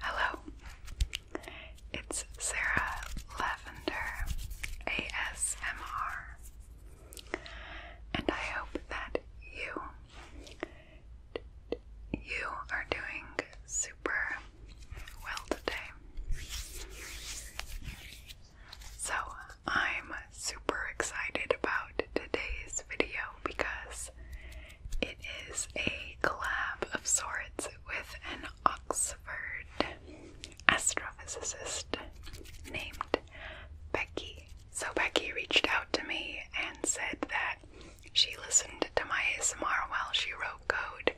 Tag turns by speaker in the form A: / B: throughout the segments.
A: Hello, it's Sarah Lavender ASMR, and I hope that you you are doing super well today. So I'm super excited about today's video because it is a collab of sorts with an Oxford astrophysicist named Becky. So, Becky reached out to me and said that she listened to my ASMR while she wrote code,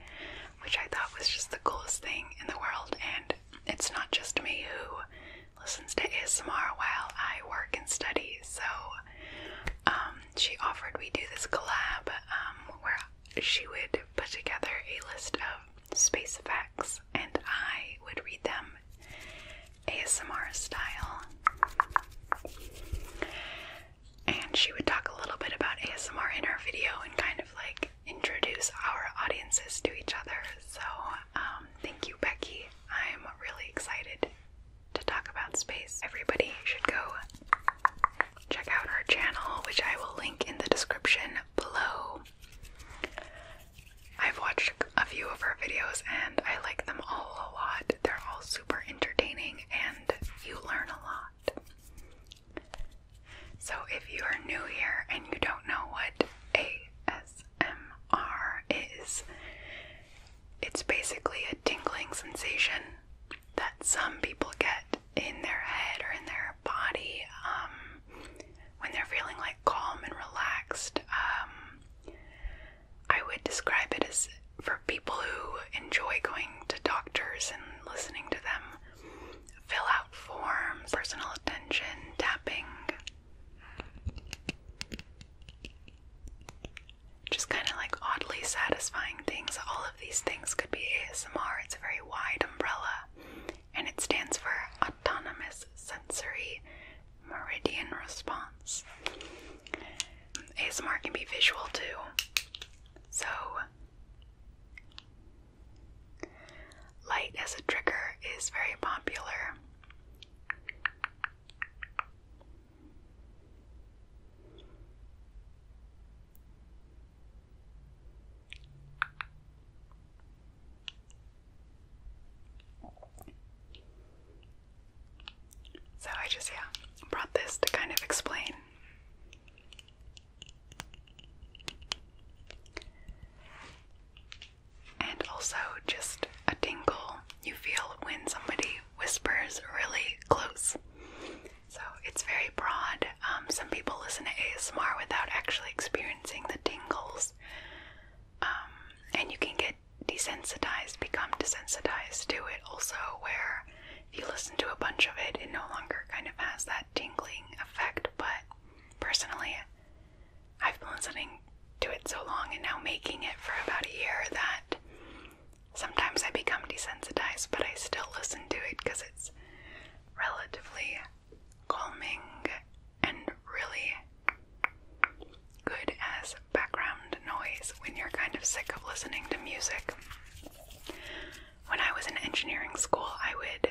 A: which I thought was just the coolest thing in the world. And it's not just me who listens to ASMR while I work and study. So um, she offered we do this collab um, where she would put together a list of space effects and I would read them ASMR style. And she would talk a little bit about ASMR in her video and kind of like introduce our audiences to each other. So, um, thank you, Becky, I'm really excited to talk about space. Everybody should go check out our channel, which I will link in the description below. I've watched a few of her videos and I like them all a lot. They're all super entertaining and you learn a lot. So if you are new here and you don't know what AS ASMR is it's basically a tingling sensation that some people get in their head or in their body um, when they're feeling like calm and relaxed. Um, I would describe it as for people who enjoy going to doctors and listening to them fill out forms, personal attention, tapping, just kind of like oddly satisfying things. All of these things could be ASMR. It's a very wide umbrella and it stands for Autonomous Sensory Meridian Response. ASMR can be visual too. So Light as a trigger is very popular. So I just, yeah, brought this to kind of explain and also just a tingle you feel when somebody whispers really close. So it's very broad. Um, some people listen to ASMR without actually experiencing the tingles, um, and you can get desensitized, become desensitized to it also, where if you listen to a bunch of it, it no longer kind of has that tingling effect. But personally, I've been listening to it so long and now making it for about a year that sometimes I become desensitized, but I still listen to it because it's relatively calming and really good as background noise when you're kind of sick of listening to music. When I was in engineering school, I would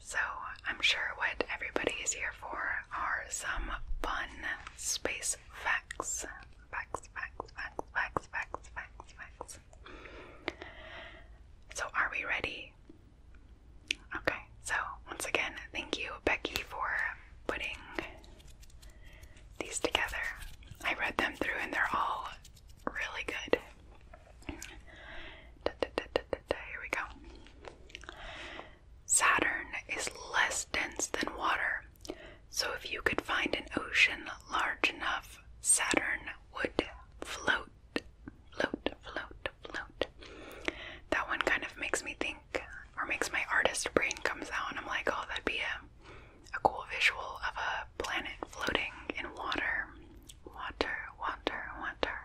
A: So, I'm sure what everybody is here for are some fun space facts. Facts, facts, facts, facts, facts, facts, facts. So, are we ready? Okay, so once again, thank you, Becky, for putting these together. I read them through and they're all really good. Here we go. Saturn is less dense than water, so if you could find an ocean large enough, Saturn would float. Float, float, float. That one kind of makes me think, or makes my artist brain comes out, and I'm like, oh, that'd be a, a cool visual of a planet floating in water. Water, water, water.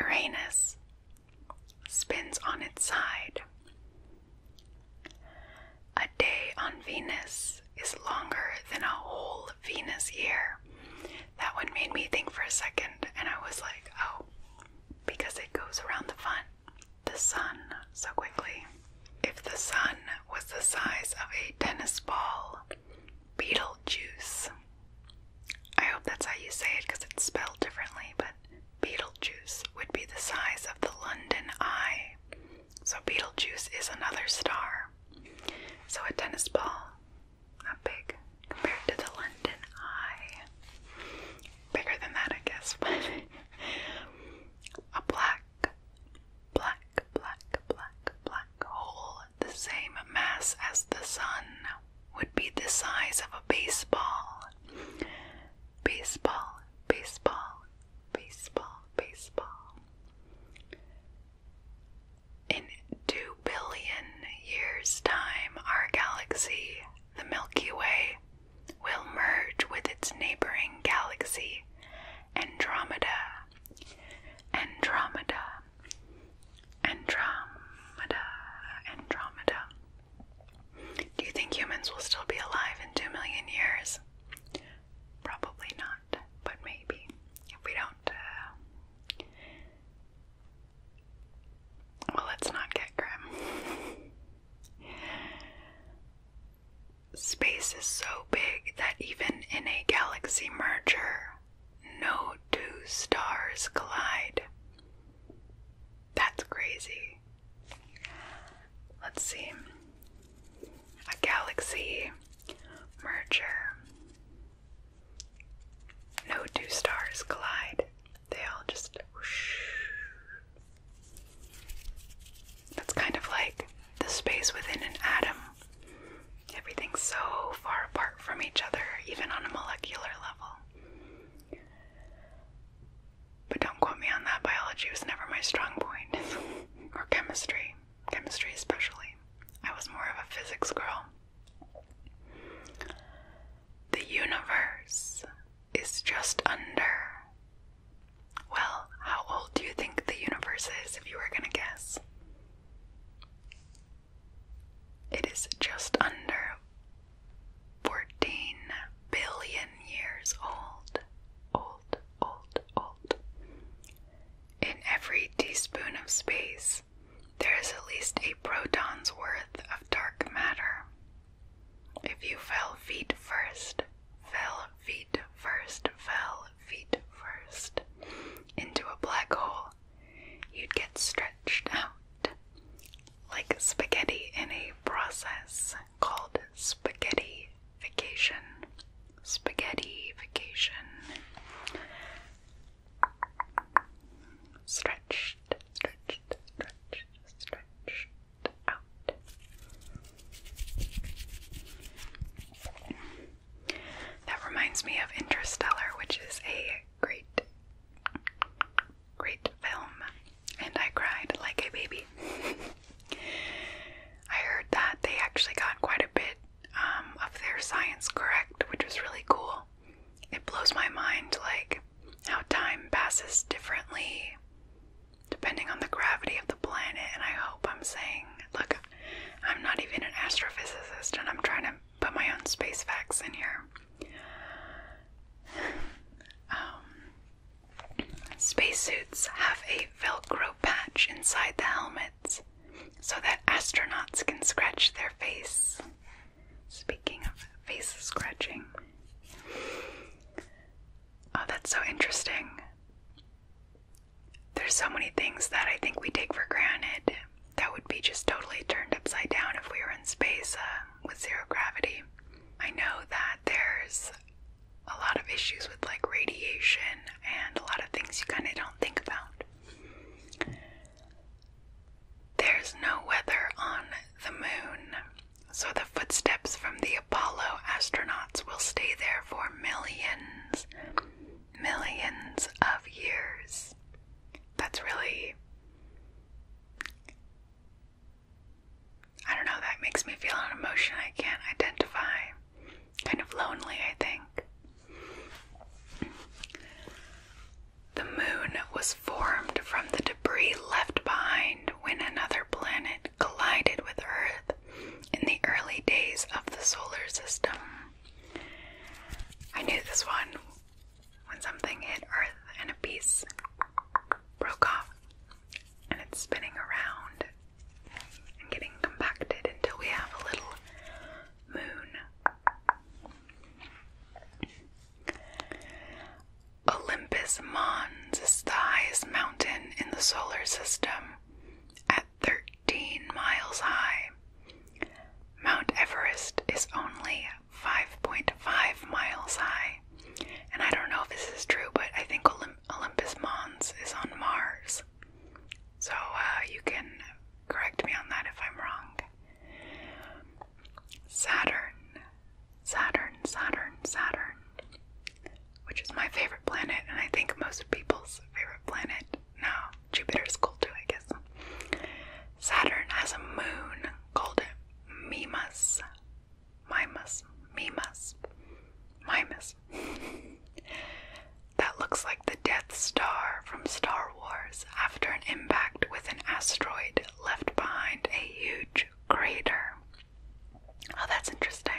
A: Uranus spins on its side. A day on Venus is longer than a whole Venus year. That one made me think for a second, and I was like, oh, because it goes around the fun, the sun so quickly. If the sun was the size of a tennis ball, Beetlejuice. I hope that's how you say it because it's spelled differently, but Beetlejuice would be the size of the London Eye. So Beetlejuice is another star. So a tennis ball, not big compared to the London Eye. Bigger than that, I guess, a black, black, black, black, black hole the same mass as the sun would be the size of a baseball. Baseball, baseball, baseball, baseball. In two billion years' time, our galaxy, the Milky Way, will merge with its neighboring galaxy, Andromeda. Andromeda Andromeda, Andromeda. Do you think humans will still be alive in two million years? Probably not, but maybe. If we don't, uh, well, let's not get grim. Space is so big that even in a galaxy merger, no two stars collide. That's crazy. Let's see. A galaxy merger. No two stars collide. They all just That's kind of like the space within an atom. Everything's so far apart from each other, even on a molecular level. But don't quote me on that. Biology was never my strong point, or chemistry, chemistry especially. I was more of a physics girl. The universe is just under. Well, how old do you think the universe is if you were gonna guess? It is just under 14 billion years old. Old, old, old. In every teaspoon of space, there is at least a proton's worth of dark matter. If you fell feet first, fell feet first, fell feet first into a black hole, you'd get stretched out like spaghetti in a process called spaghetti vacation. Spaghetti vacation Stretched, stretched, stretched, stretched out. That reminds me of Interstellar, which is a great, great film, and I cried like a baby. I heard that they actually got quite a bit um, of their science correct, which was really cool. It blows my mind, like how time passes differently depending on the gravity of the planet, and I hope I'm saying, look, I'm not even an astrophysicist and I'm trying to put my own space facts in here. Um, spacesuits have a Velcro patch inside the helmets so that astronauts can scratch their face. Speaking of face scratching, oh, that's so interesting there's so many things that I think we take for granted that would be just totally turned upside down if we were in space uh, with zero gravity. I know that there's a lot of issues with like radiation and a lot of things you kind of don't think about. There's no weather on the moon, so the footsteps from the Apollo astronauts will stay there for millions, millions of years. That's really. I don't know, that makes me feel an emotion I can't identify. Kind of lonely, I think. The moon was formed from the debris left behind when another planet collided with Earth in the early days of the solar system. I knew this one when something hit Earth and a piece broke off and it's spinning around and getting compacted until we have a little moon. Olympus Mons is the highest mountain in the solar system at 13 miles high. Mount Everest is only 5.5 miles high. And I don't know if this is true, but I think Olympus Mons is on Mars. So uh, you can correct me on that if I'm wrong. Saturn, Saturn, Saturn, Saturn which is my favorite planet, and I think most people's favorite planet. No, Jupiter's cool too, I guess. Saturn has a moon called Mimas. Mimas. Mimas. Mimas. that looks like the Death Star from Star Wars after an impact with an asteroid left behind a huge greater. Oh, that's interesting.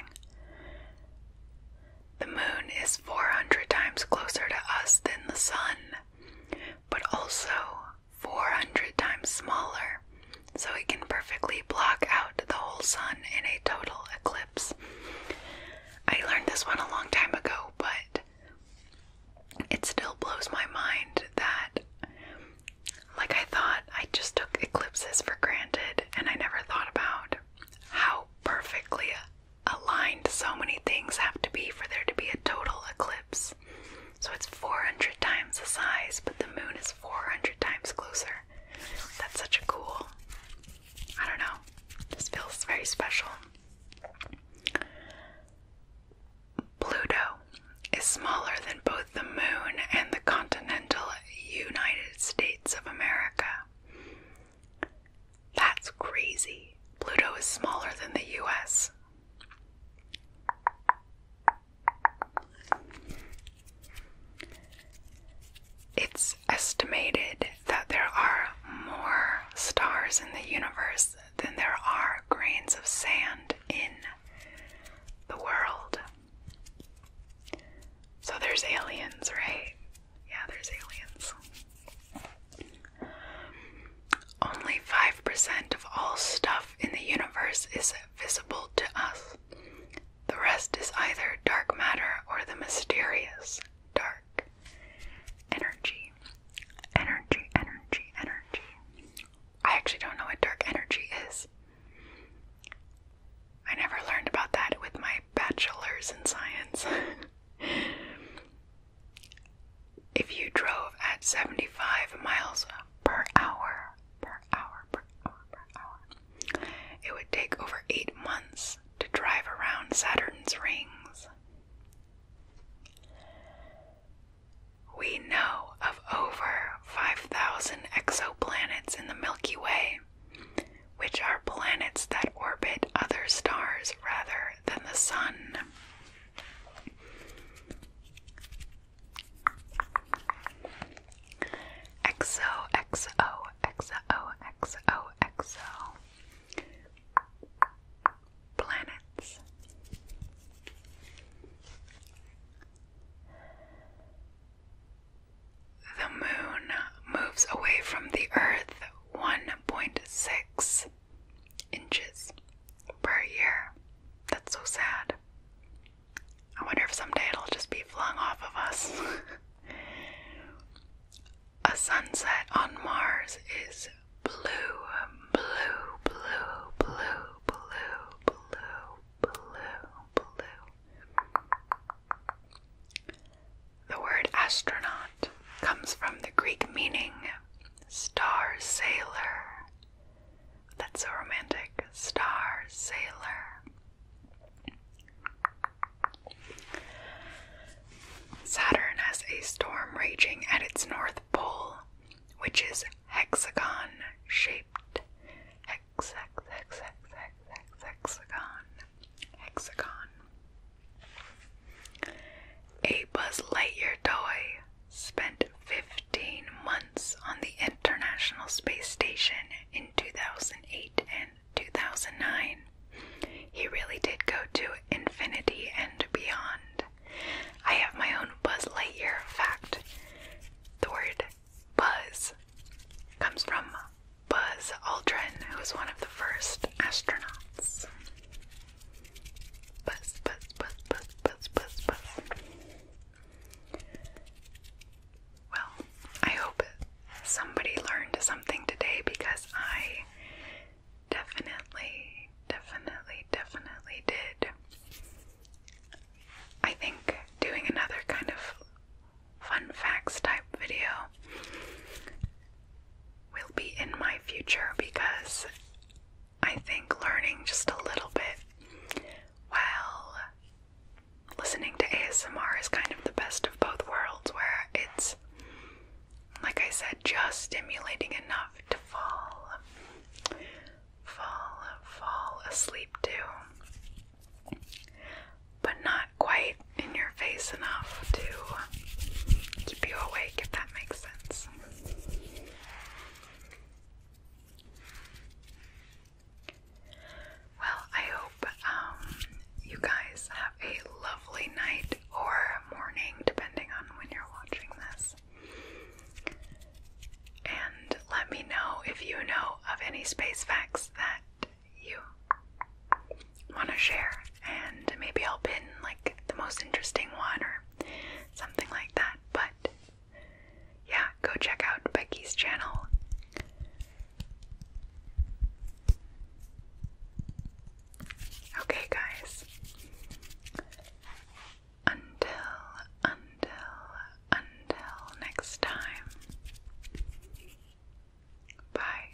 A: The moon is 400 times closer to us than the sun, but also 400 times smaller, so it can perfectly block out the whole sun in a total eclipse. I learned this one a long time ago, but it still blows my mind that like I thought, I just took eclipses for granted and I never thought about how perfectly aligned so many things have to be for there to be a total eclipse. So it's 400 times the size, but the moon is 400 times closer. That's such a cool. I don't know. This feels very special. Pluto is smaller than both the moon and the continental United States of America. That's crazy. Pluto is smaller than the US. It's estimated that there are more stars in the universe than there are grains of sand in the world. So there's aliens, right? Yeah, there's aliens. Only 5% of all stuff in the universe is visible to us. The rest is either dark matter or the mysterious dark energy. Energy, energy, energy. I actually don't know what dark energy is. I never learned about that with my bachelor's in science. if you drove at 75 miles per hour, per hour, per hour, per hour, it would take over eight months to drive around Saturn's rings. We know of over 5,000 exoplanets in the Milky Way, which are planets that orbit other stars rather than the Sun. Exo, exo, exo, exo, exo. Planets. The moon moves away from the earth 1.6 inches per year. That's so sad. I wonder if someday it'll just be flung off of us. A sunset on Mars is blue, blue, blue, blue, blue, blue, blue, blue. The word astronaut comes from the Greek meaning star sailor. That's so romantic. Star sailor. Saturn has a storm raging at its north pole, which is hexagon shaped. Hex, hex, hex, hex, hex, hexagon. Hexagon. A Buzz Lightyear toy spent 15 months on the International Space Station in 2008 and 2009. He really did go to infinity and beyond. I have my own Buzz Lightyear fact. The word buzz comes from Buzz Aldrin, who was one of the first astronauts. Buzz, buzz, buzz, buzz, buzz, buzz, buzz. Well, I hope somebody learned something today because I definitely Definitely, definitely did. I think doing another kind of fun facts type video will be in my future because I think learning just a little bit while listening to ASMR is kind of the best of both worlds where it's like I said, just stimulating enough to fall, fall, fall asleep too, but not quite in your face enough to keep you awake, if that makes sense. Well, I hope um, you guys have a lovely night or morning, depending on when you're watching this. And let me know if you know of any space facts that you want to share, and maybe I'll pin like the most interesting one or something like that. But yeah, go check out Becky's channel. Okay, guys, until, until, until next time. Bye.